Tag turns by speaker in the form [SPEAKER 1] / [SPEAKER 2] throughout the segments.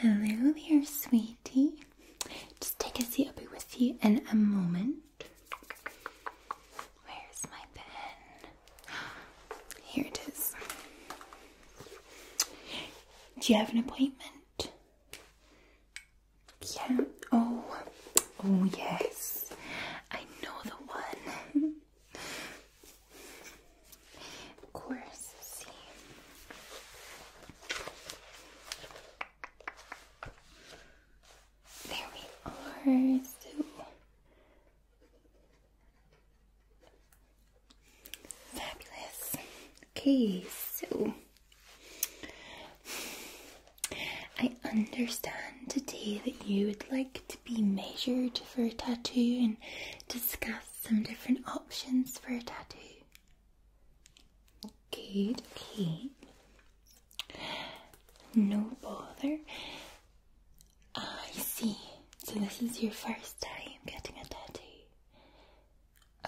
[SPEAKER 1] Hello there, sweetie. Just take a seat, I'll be with you in a moment. Where's my pen? Here it is. Do you have an appointment? Yeah. Oh, oh yes. I know the one. of course, see. There we are. So fabulous. Okay, so I understand today that you would like to be measured for a tattoo and discuss some different options for a tattoo. Good, okay. No bother. I see. So this is your first time getting a tattoo.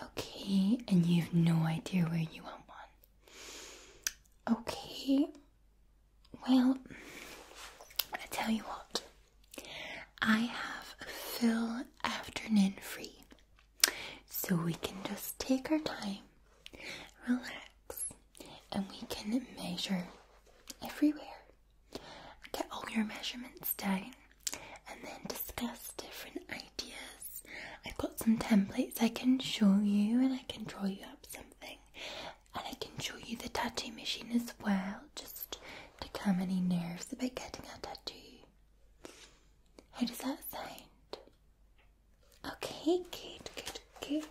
[SPEAKER 1] Okay, and you've no idea where you want one. Okay. Well, I tell you what. I have a full afternoon free, so we can just take our time, relax, and we can measure everywhere. Get all your measurements done, and then discuss different ideas. I've got some templates I can show you and I can draw you up something and I can show you the tattoo machine as well, just to calm any nerves about getting a tattoo. How does that sound? Okay, good, good, good.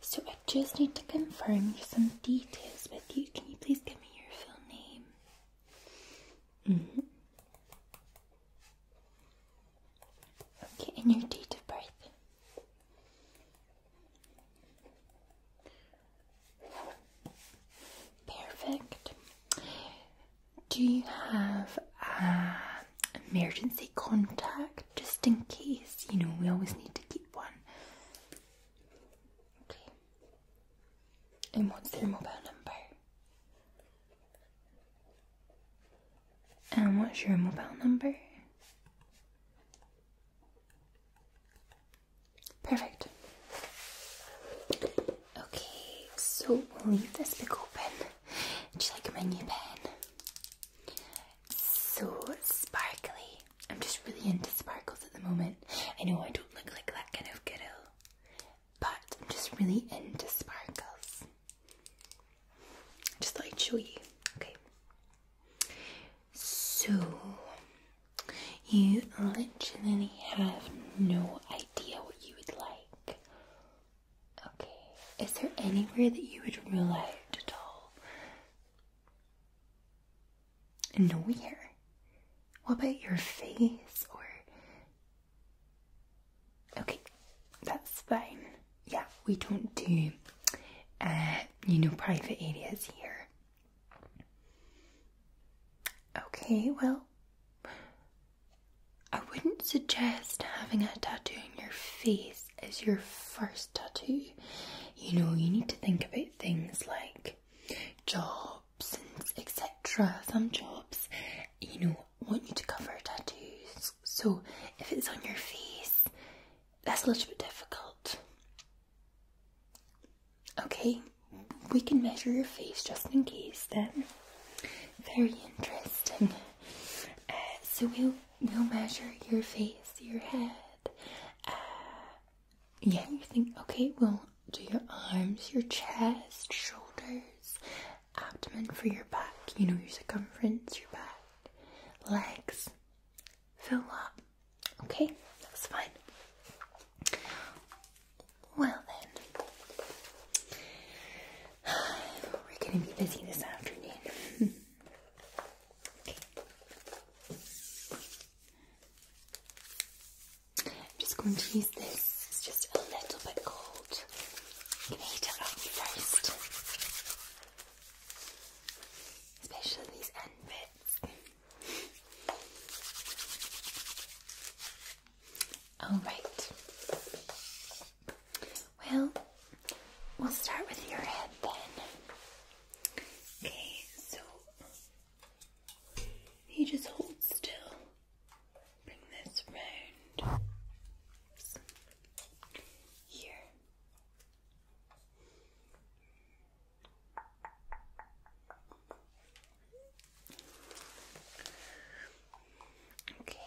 [SPEAKER 1] So I just need to confirm some details with you. Can you please give me your full name? -hmm. Okay, and your date of birth. Perfect. Do you have an uh, emergency contact just in case? You know, we always need to keep one. Okay. And what's your mobile number? And what's your mobile number? Perfect. Okay, so we'll leave this book open. Just like my new pen? so sparkly. I'm just really into sparkles at the moment. I know I don't look like that kind of girl, but I'm just really into sparkles. Just thought I'd show you. Okay. So, you literally have no idea what you would like. Okay, is there anywhere that you would rule at all? Nowhere. What about your face or. Okay, that's fine. Yeah, we don't do, uh, you know, private areas here. Okay, well, I wouldn't suggest having a tattoo on your face as your first tattoo. You know, you need to think about things like jobs and etc. Some jobs, you know, want you to cover tattoos. So if it's on your face, that's a little bit difficult. Okay, we can measure your face just in case then. Very interesting. Uh, so we'll we'll measure your face, your head. Uh, yeah, you think okay, we'll do your arms, your chest, shoulders, abdomen for your back, you know, your circumference, your back, legs. Fill up. Okay, that's fine. Well then, we're gonna be busy this afternoon. okay. I'm just going to use this. It's just a little bit cold. You can heat it up first, especially these end bits. All right. Well, we'll start with your head then. Okay, so you just hold still. Bring this round here. Okay.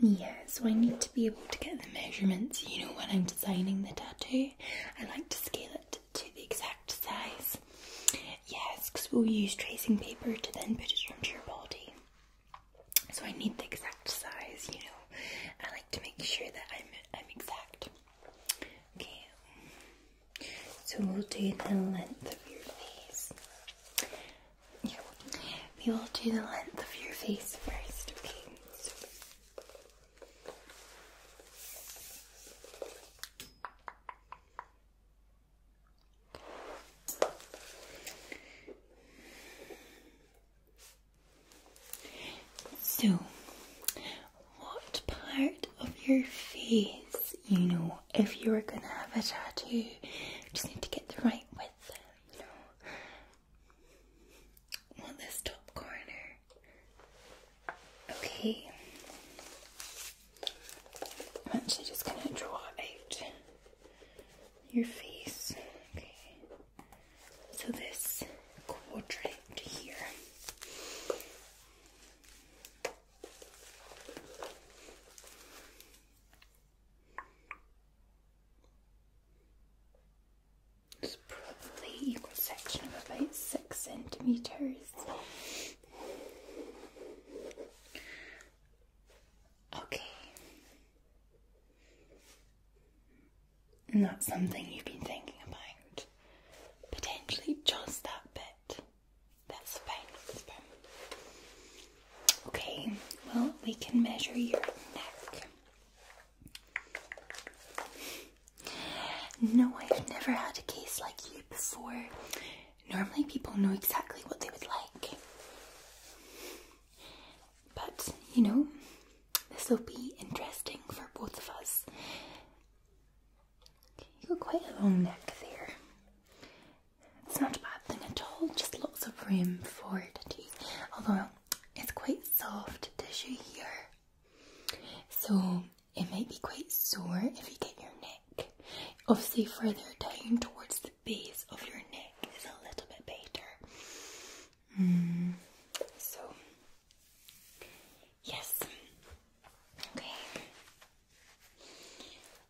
[SPEAKER 1] Yeah, so I need to be able to get the measurements, you know, when I'm designing the tattoo. I like to scale it to the exact size. Yes, because we'll use tracing paper to then put it onto your body. So I need the exact size, you know, to make sure that I'm I'm exact. Okay. So we'll do the length of your face. Yeah, we will do the length of your face first, Okay. So, what part of your face, you know, if you were gonna have a tattoo, just need to get the right width, you know? Want this top corner? Okay. I'm actually just gonna draw out your face. Okay. So this quadrant here is probably equal section of about six centimeters. Okay, and that's something you've been thinking about. Potentially just that bit. That's fine. That's fine. Okay, well, we can measure your neck. No, I've never had a case like you before. Normally, people know exactly what they would like. But, you know, this will be interesting for both of us. You've got quite a long neck there. It's not a bad thing at all, just lots of room for tattoos. Although, it's quite soft tissue here. So, it might be quite sore if you get your neck. Obviously, further down towards the base of your neck is a little bit better. So, yes. Okay.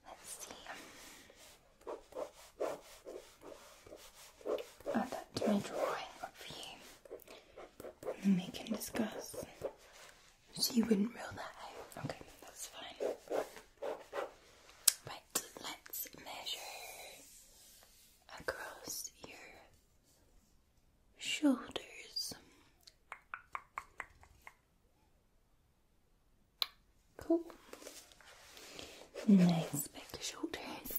[SPEAKER 1] Let's see. Add that to my drawing up here. we can discuss. So wouldn't rule Okay, that's fine. Right, let's measure across your shoulders. Cool. Nice back shoulders.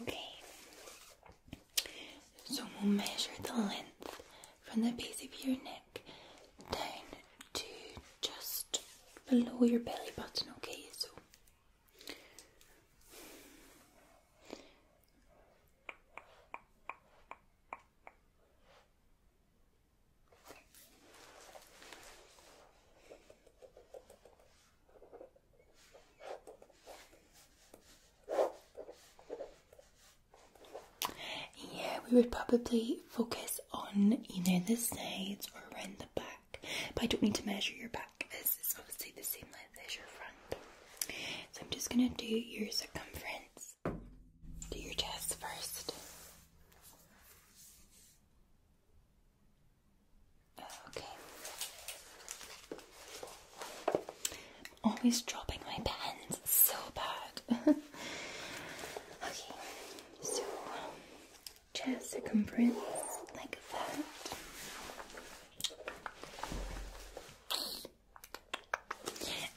[SPEAKER 1] Okay. So we'll measure the length from the base of your neck down to just below your belly button, okay? So yeah, we would probably focus on either the sides or around the back, but I don't need to measure your back as it's obviously the same length as your front. So I'm just going to do your circumference, do your chest first. Okay. I'm always dropping my pens so bad. okay, so chest circumference like that.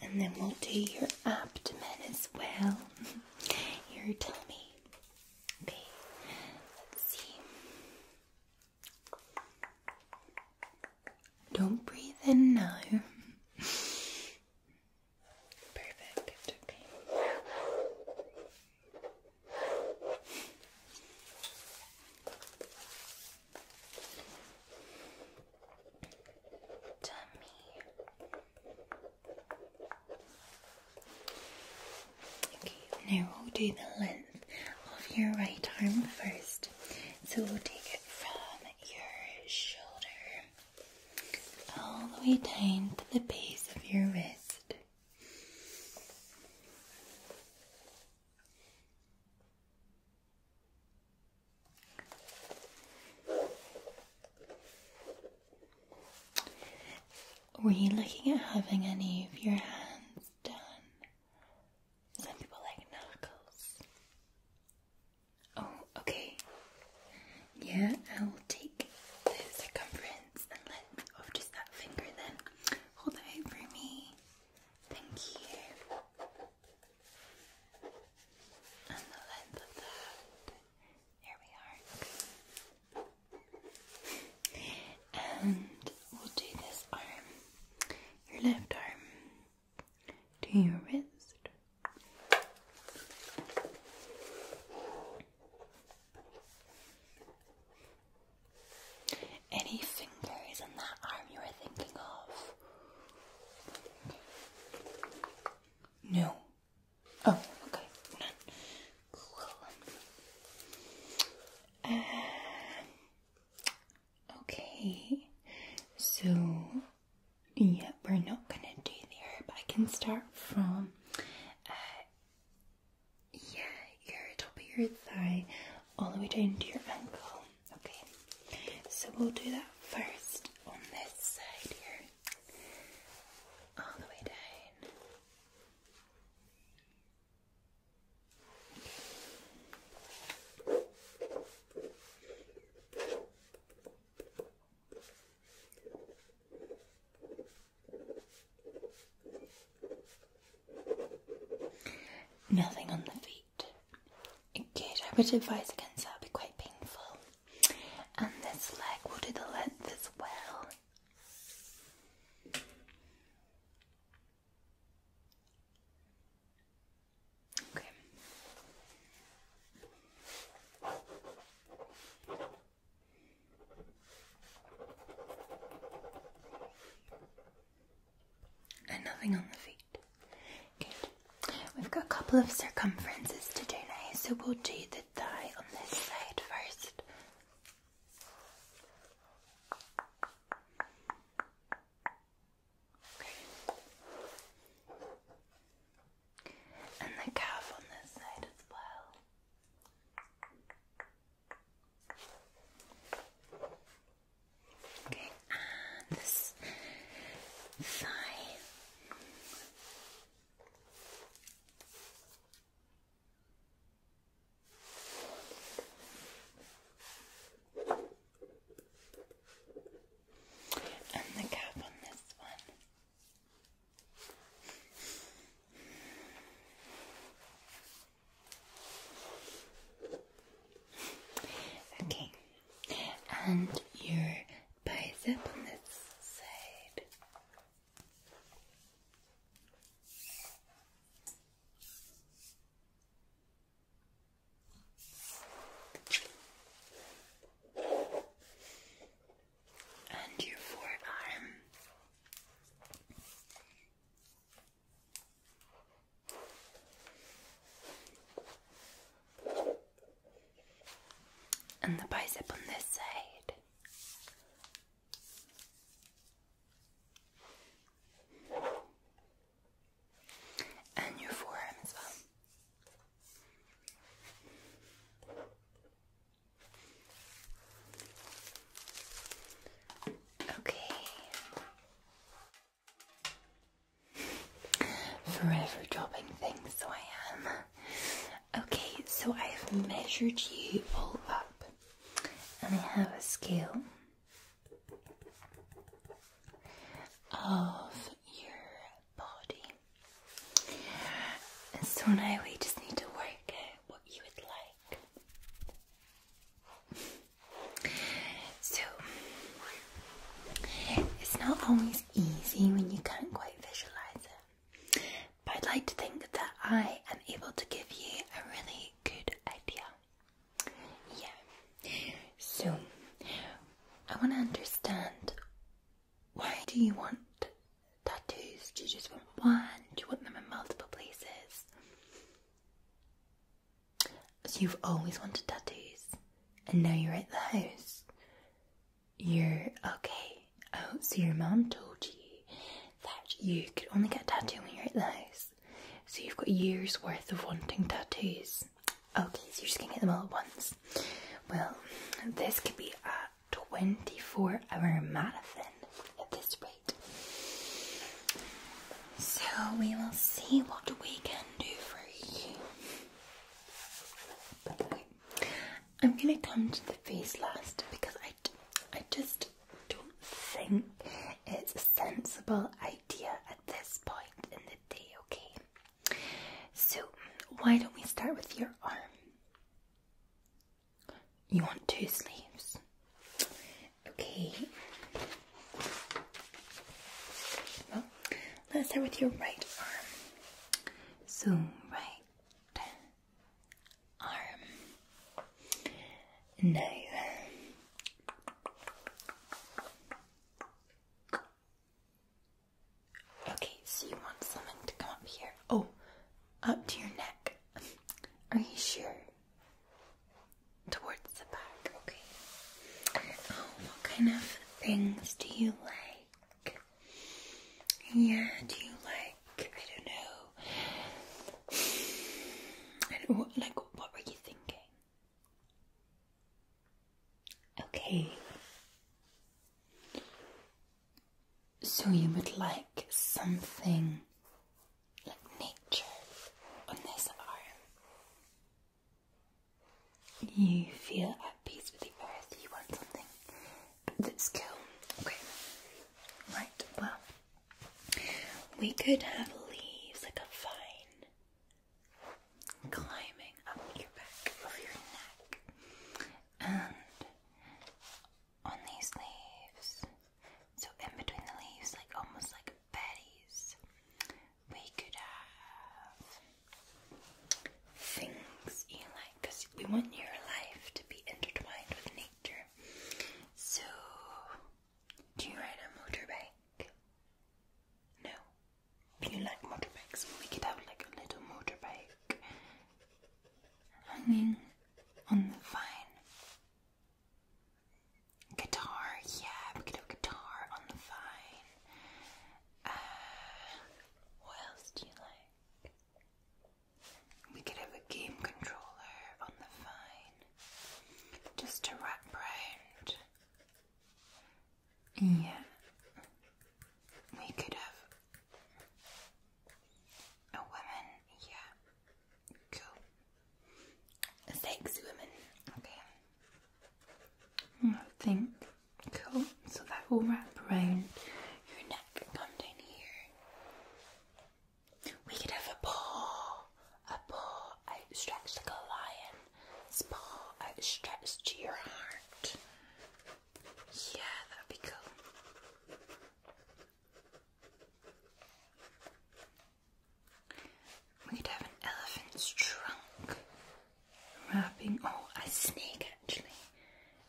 [SPEAKER 1] And then we'll do your abdomen as well. Your tummy. let's see. Don't breathe in now. Perfect, okay. now we'll do the length of your right arm first. So we'll take it from your shoulder all the way down to the base of your wrist. Were you looking at having any of your hands done? Some people like knuckles. Oh, okay. Yeah, I will take the circumference and length of just that finger then. Hold it out for me. Thank you. And the length of that. Here we are. And we'll do this arm, your left arm to your wrist. Any fingers in that arm you were thinking of? No. Oh, okay. Cool. Um, Okay, so yeah, we're not gonna do the hair, but I can start from yeah, uh, your top of your thigh all the way down to your ankle. Okay, so we'll do that first on this side here, all the way down. Nothing on the feet. Good, I would advise against that, it would be quite painful. And this leg, we'll do the length as well. And nothing on the feet. Good. We've got a couple of circumferences to do now, so we'll do the thigh on this side first. Okay. And the calf on this side as well. Okay, and this thigh. And the cap on this one. Okay, and your bicep on this side and your forearm. And the bicep on this side and your forearm as well. Okay. Forever dropping things, so I am. Okay, so I have measured you all up, and I have a scale of your body. so now we just need to work out what you would like. So it's not always easy when you can't quite visualize it, but I'd like to think that I am able to give you a really good idea. Yeah. So, I want to understand why do you want tattoos? Do you just want one? Do you want them in multiple places? So, you've always wanted tattoos, and now you're at the house. You're okay. Oh, so your mom told you that you could only get a tattoo when you're at the house. So you've got years worth of wanting tattoos. Okay, so you're just gonna get them all at once. Well, this could be a 24 hour marathon at this rate. So we will see what we can do for you. I'm gonna come to the face last because I, I just don't think it's a sensible idea at this point in the day, okay? So, why don't we start with your arm? You want two sleeves? Okay. Well, let's start with your right arm. So, right arm. No. Okay, so you want something to come up here. Oh, up to your neck. Are you sure? Towards the back, okay. Oh, what kind of things do you like? Yeah, do you like, I don't know. I don't, what, like, what were you thinking? Okay. So you would like something like nature on this arm. You feel at peace with the earth, you want something that's calm. Okay. Right, well we could have leaves like a vine climbing up your back of your neck and on these leaves. So in between the leaves, like almost like berries, we could have things you like because we want your life to be intertwined with nature. So do you ride a motorbike? No. Do you like motorbikes? We could have like a little motorbike hanging on the vine. Guitar, yeah, we could have guitar on the vine. Uh, what else do you like? We could have a game controller on the vine. Just to wrap around yeah. We could have a woman, yeah. Cool. sexy woman, okay. Mm, I think cool. So that will wrap around your neck come down here. We could have a paw. A paw. I stretch like a lion's paw out stretched to your heart. Yeah, that'd be cool. We could have an elephant's trunk wrapping, oh, a snake actually.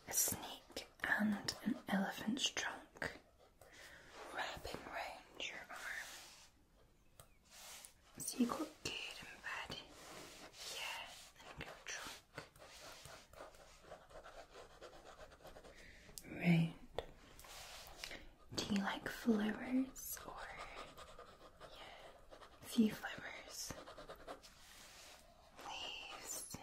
[SPEAKER 1] A snake and an elephant's trunk wrapping around your arm. So you got good and bad. Yeah, and good drunk. Right. Do you like flowers or few flowers? Leaves.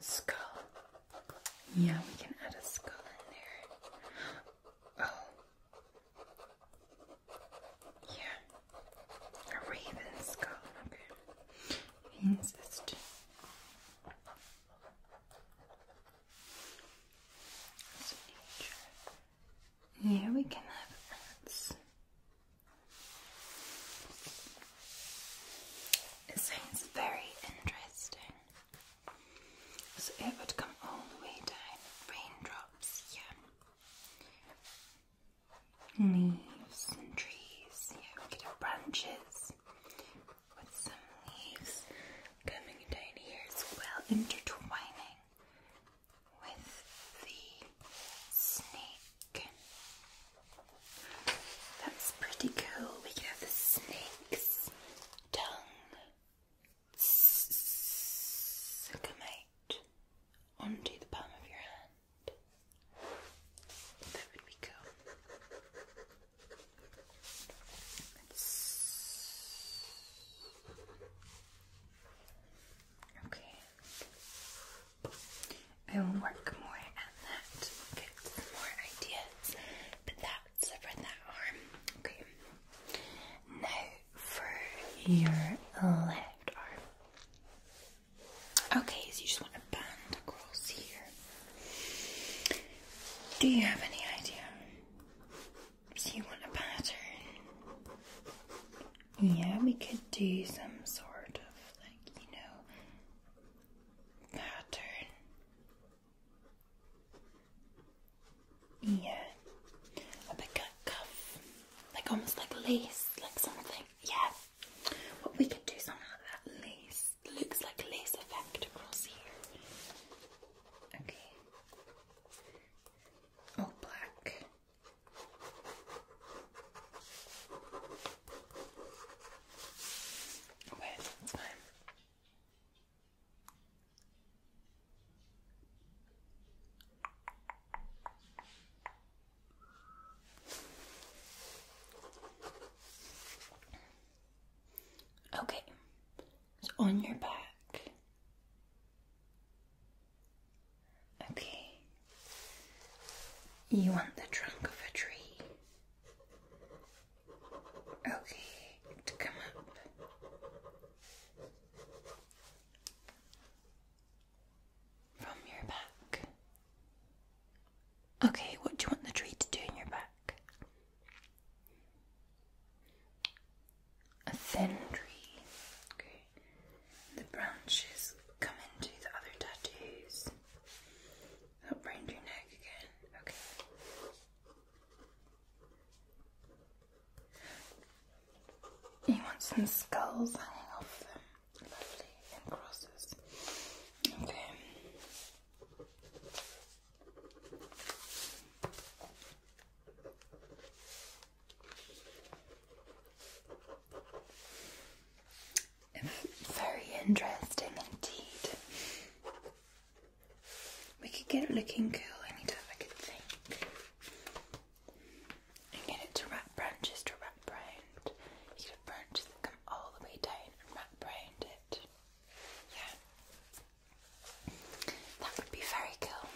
[SPEAKER 1] Skull. Yeah, we can add a skull in there. Oh. Yeah. A raven skull. Okay. Means yeah, we can have ants. It sounds very interesting. So it would come all the way down. Raindrops, yeah. Leaves and trees, yeah. branches with some leaves coming down here as well, intertwining with the snake. That's pretty cool. We can have the snake's tongue S onto the palm of your hand. That would be cool. Okay. I will work more at that. get some more ideas. But that's for that arm. Okay. Now for your left arm. Okay, so you just want a band across here. Do you have any idea? So you want a pattern? Yeah, we could do some sort of like, you know, pattern. Yeah, a big cuff, like almost like lace, like something. Yeah, what we could do something like that lace looks like lace effect across here. Okay, all black. Okay, time. Okay, on your back, Okay. You want the trunk of a tree. Okay, to come up. From your back. Okay, what do you want the tree to do in your back? a thin tree. Okay. The branches come into the other tattoos. Up round your neck again. Okay. You want some skulls hanging off them. Lovely. And crosses. Okay. Very interesting indeed. We could get it looking cool anytime I could think. And get it to wrap branches to wrap round. You could have branches come all the way down and wrap round it. Yeah. That would be very cool.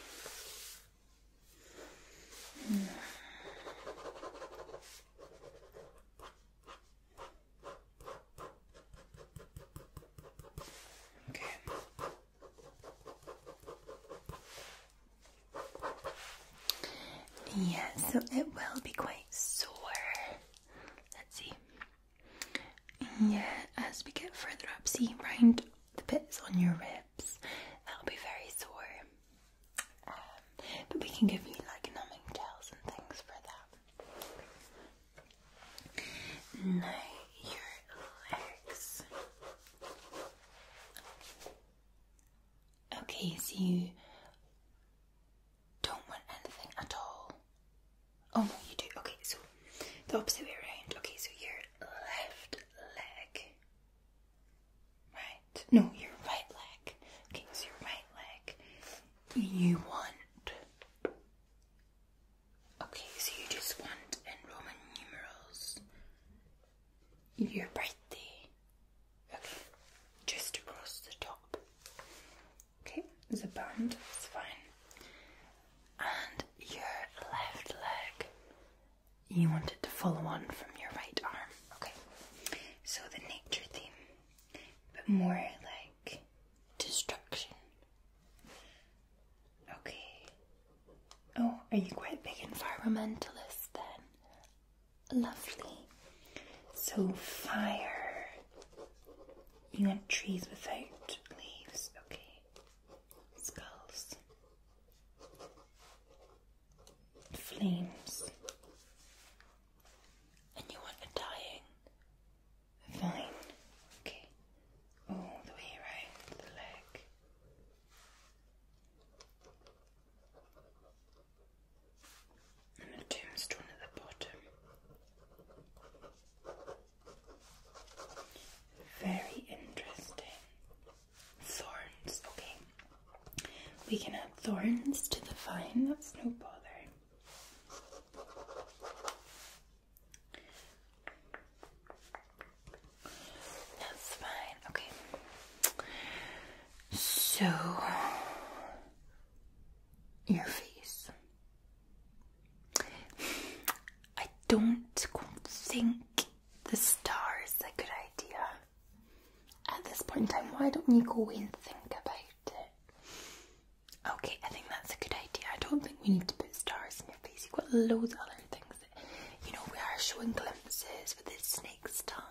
[SPEAKER 1] Okay. Yeah, so it will be quite sore. Let's see. Yeah, as we get further up, see round the bits on your ribs. That'll be very sore. Um, but we can give you like numbing gels and things for that. Now your legs. Okay, so you don't want anything at all. Oh no, you do. Okay, so the opposite way around. Okay, so your left leg Right? No, your right leg. Okay, so your right leg. You want. Okay, so you just want in Roman numerals your birthday. Okay, just across the top. Okay, the band, it's fine. And your left leg, you wanted to follow on from your right arm. Okay, so the nature theme, but more like destruction. Okay. Oh, are you quite big environmentalist then? Lovely. So, fire. You want trees without leaves, okay. Skulls flames, and you want a dying vine. Okay, all the way around the leg. And a tombstone at the bottom. Very interesting. Thorns, okay. We can add thorns to the vine, that's no bother. That's fine, okay. So, your face. I don't think the star is a good idea. At this point in time, why don't you go and think about it? Okay, I think that's a good idea. I don't think we need to put stars in your face. You've got loads of other things you know, we are showing glimpses with this snake's tongue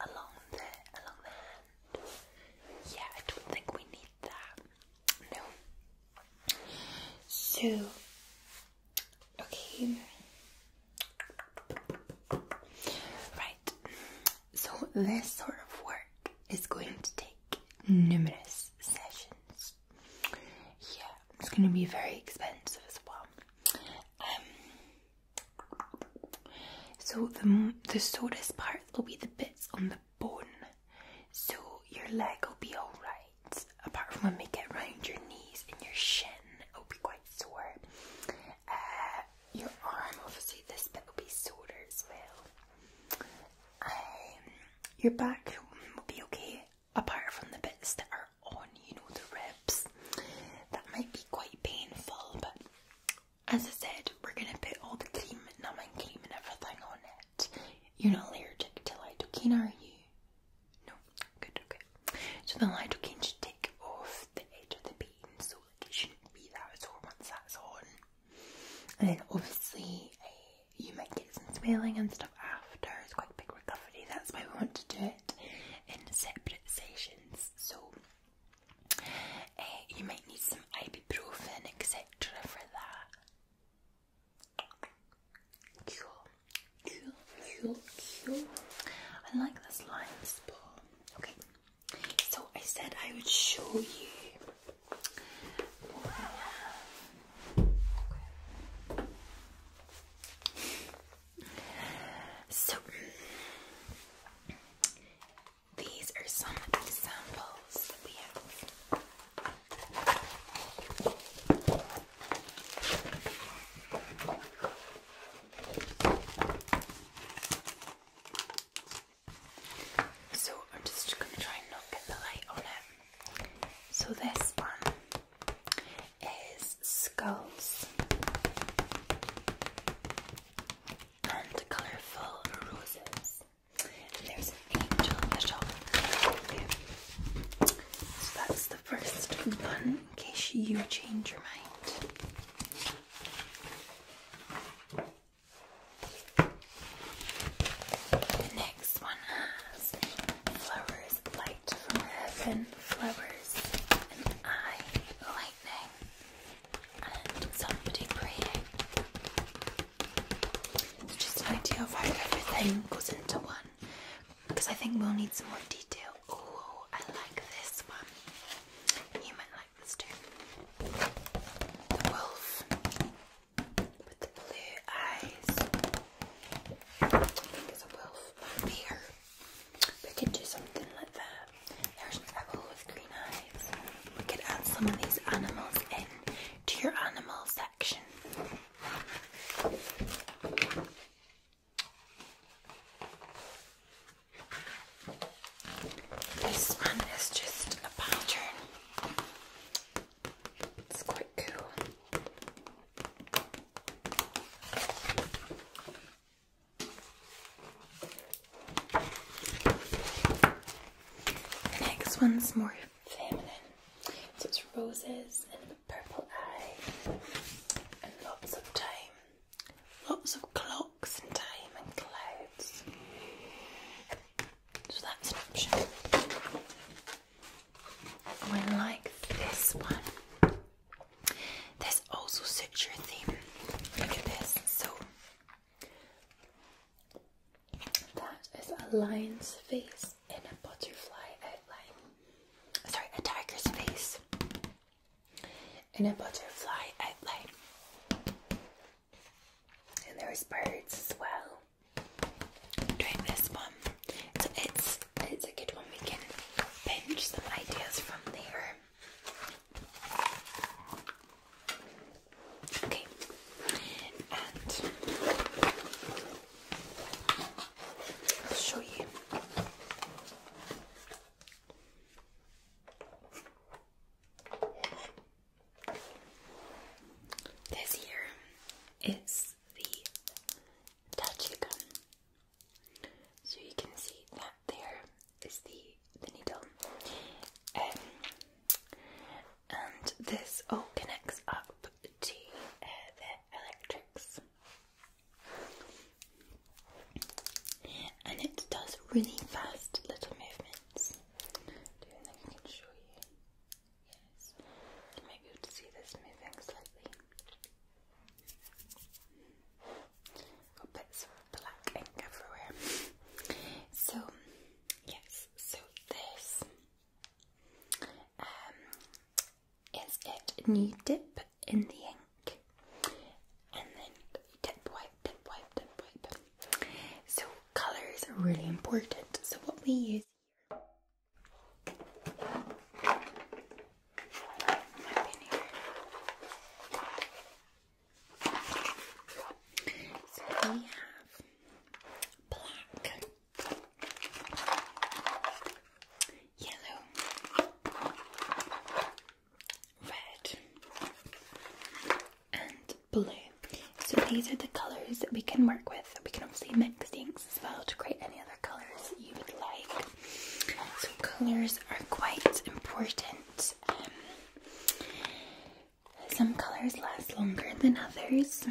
[SPEAKER 1] along the along the hand. Yeah, I don't think we need that. No. So Okay. Right. So this sort of work is going to take numerous sessions. Yeah, it's going to be very expensive as well. Um, so the the softest part will be the bits on the bone, so your leg will be all right apart from when we get round your knees and your shin, it'll be quite sore. Uh, your arm, obviously, this bit will be sore as well. Um, your back will be okay, apart from the bits that are on, you know, the ribs. That might be quite painful, but as I said, we're gonna put all the cream, numbing cream, and everything on it. You're not allergic to lidocaine, are you? No, good, okay. So the lighter can to take off the edge of the painting, so like it shouldn't be that sore once that's on. And then obviously eh, you might get some swelling and stuff after. It's quite big recovery. That's why we want to do it in separate sessions. So eh, you might need some ibuprofen, etc. for that. Cool, cool, cool, cool. I like this line spot. Okay, so I said I would show you. So these are some examples that we have. So I'm just going to try and not get the light on it. So this one is skulls and colourful roses. there's an angel at the top. Okay. So that's the first one, in case you change your mind. next one has flowers light from heaven, flowers and eye lightning, and somebody praying. just an idea of how everything goes into one because I think we'll need some more detail. Oh, I like this one. You might like this too. The wolf with the blue eyes. I think it's a wolf or We could do something like that. There's an owl with green eyes. We could add some of these animals in to your animal section. This one is just a pattern. It's quite cool. The next one's more feminine. So it's roses and a purple eye, and lots of time, lots of clocks and time and clouds. So that's an option. One like this one. This also suits your theme. Look at this. So that is a lion's face face in a butterfly outline. Sorry, a tiger's face in a butterfly outline. And there's birds as well. Doing this one, so it's it's a good one. We can pinch some ideas from there. Okay, I'll show you. This here is the touchy gun. So you can see that there is the, the needle. Um, and this all connects up to uh, electrics. And it does really fast little movements. Do you think I can show you? Yes. You might be able to see this moving slightly. Got bits of black ink everywhere. So, yes, so this um, is it and you dip in the ink and then dip wipe dip wipe dip wipe so colors are really important so what we use here so we have black yellow, red, and blue. So these are the colours that we can work with. We can obviously mix the inks as well to create any other colours you would like. So colours are quite important. Um, some colours last longer than others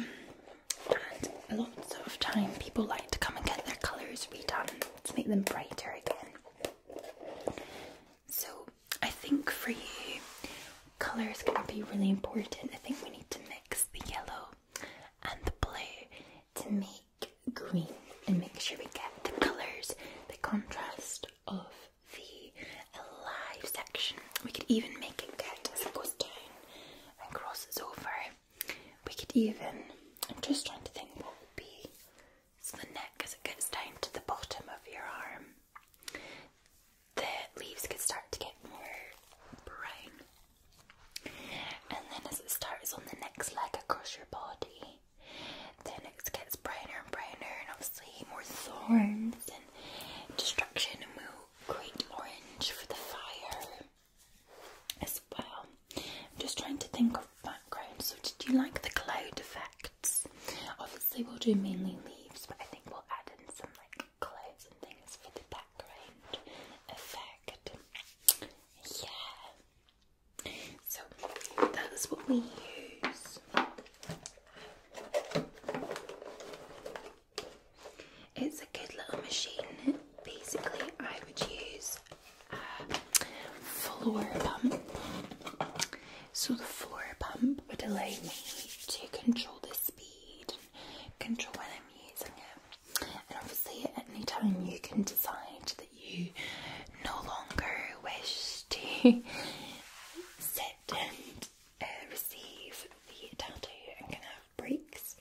[SPEAKER 1] and lots of time people like to come and get their colours redone to make them brighter again. So I think for you, colour is going to be really important. I think we need to mix the yellow and the blue to make green and make sure we get the colours, the contrast of the live section. We could even make it get as it goes down and crosses over we could even, I'm just trying to think what would be so the neck as it gets down to the bottom of your arm. The leaves could start to get more brown. And then as it starts on the next leg across your body, then it gets
[SPEAKER 2] browner and browner and obviously more thorns
[SPEAKER 1] and destruction and we'll create orange for the fire as well. just trying to think of background. So did you like the cloud effects? Obviously we'll do mainly leaves, but I think we'll add in some like clouds and things for the background effect. Yeah. So that's what we use. It's a good little machine. Basically, I would use a uh, floor pump. So the floor pump would allow me to control the speed and control when I'm using it. And obviously at any time you can decide that you no longer wish to sit and uh, receive the tattoo and can have breaks.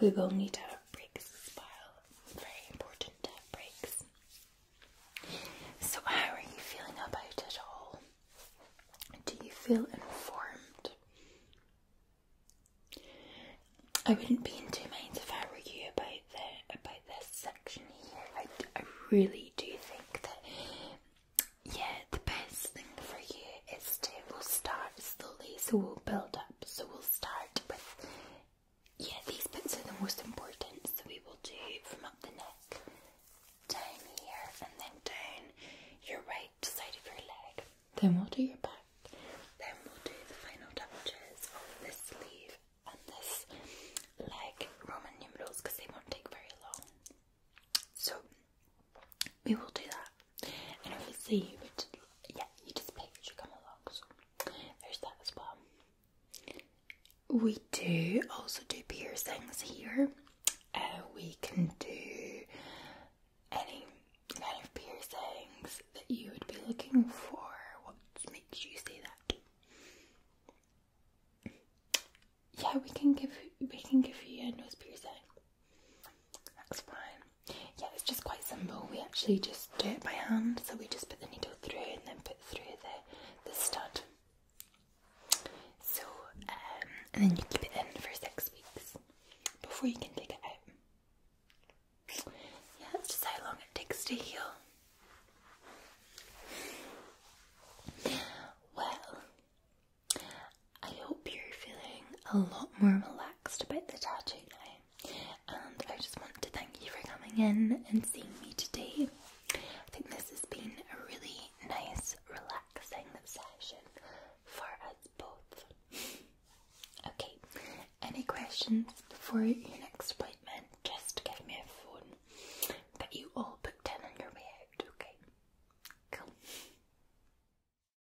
[SPEAKER 1] We will need to have breaks as well. Very important to have breaks. So, how are you feeling about it all? Do you feel informed? I wouldn't be in two minds if I were you about the about this section here. I, really do think that yeah, the best thing for you is to we'll start slowly, so we'll build up. So we'll start with, yeah, these bits are the most important. So we will do from up the neck, down here, and then down your right side of your leg. Then we'll do your back. Then we'll do the final touches on this sleeve and this leg Roman numerals because they won't take very long. So we will do that and obviously yeah, you just pick as you come along, there's that as well. We do also do piercings here. Uh, we can do any kind of piercings that you would be looking for. What makes you say that? Yeah, we can give we can give you a nose piercing. That's fine. Yeah, it's just quite simple. We actually just do it by hand, so we just put the needle through and then put through the, the stud. So, um, and then you keep it in for six weeks before you can take it out. Yeah, that's just how long it takes to heal. Well, I hope you're feeling a lot more relaxed about the tattoo now. And I just want to thank you for coming in and seeing me today. I think this has been a really nice, relaxing session for us both. okay, any questions before your next appointment? Just give me a phone. Get you all booked in on your way out, okay? Cool.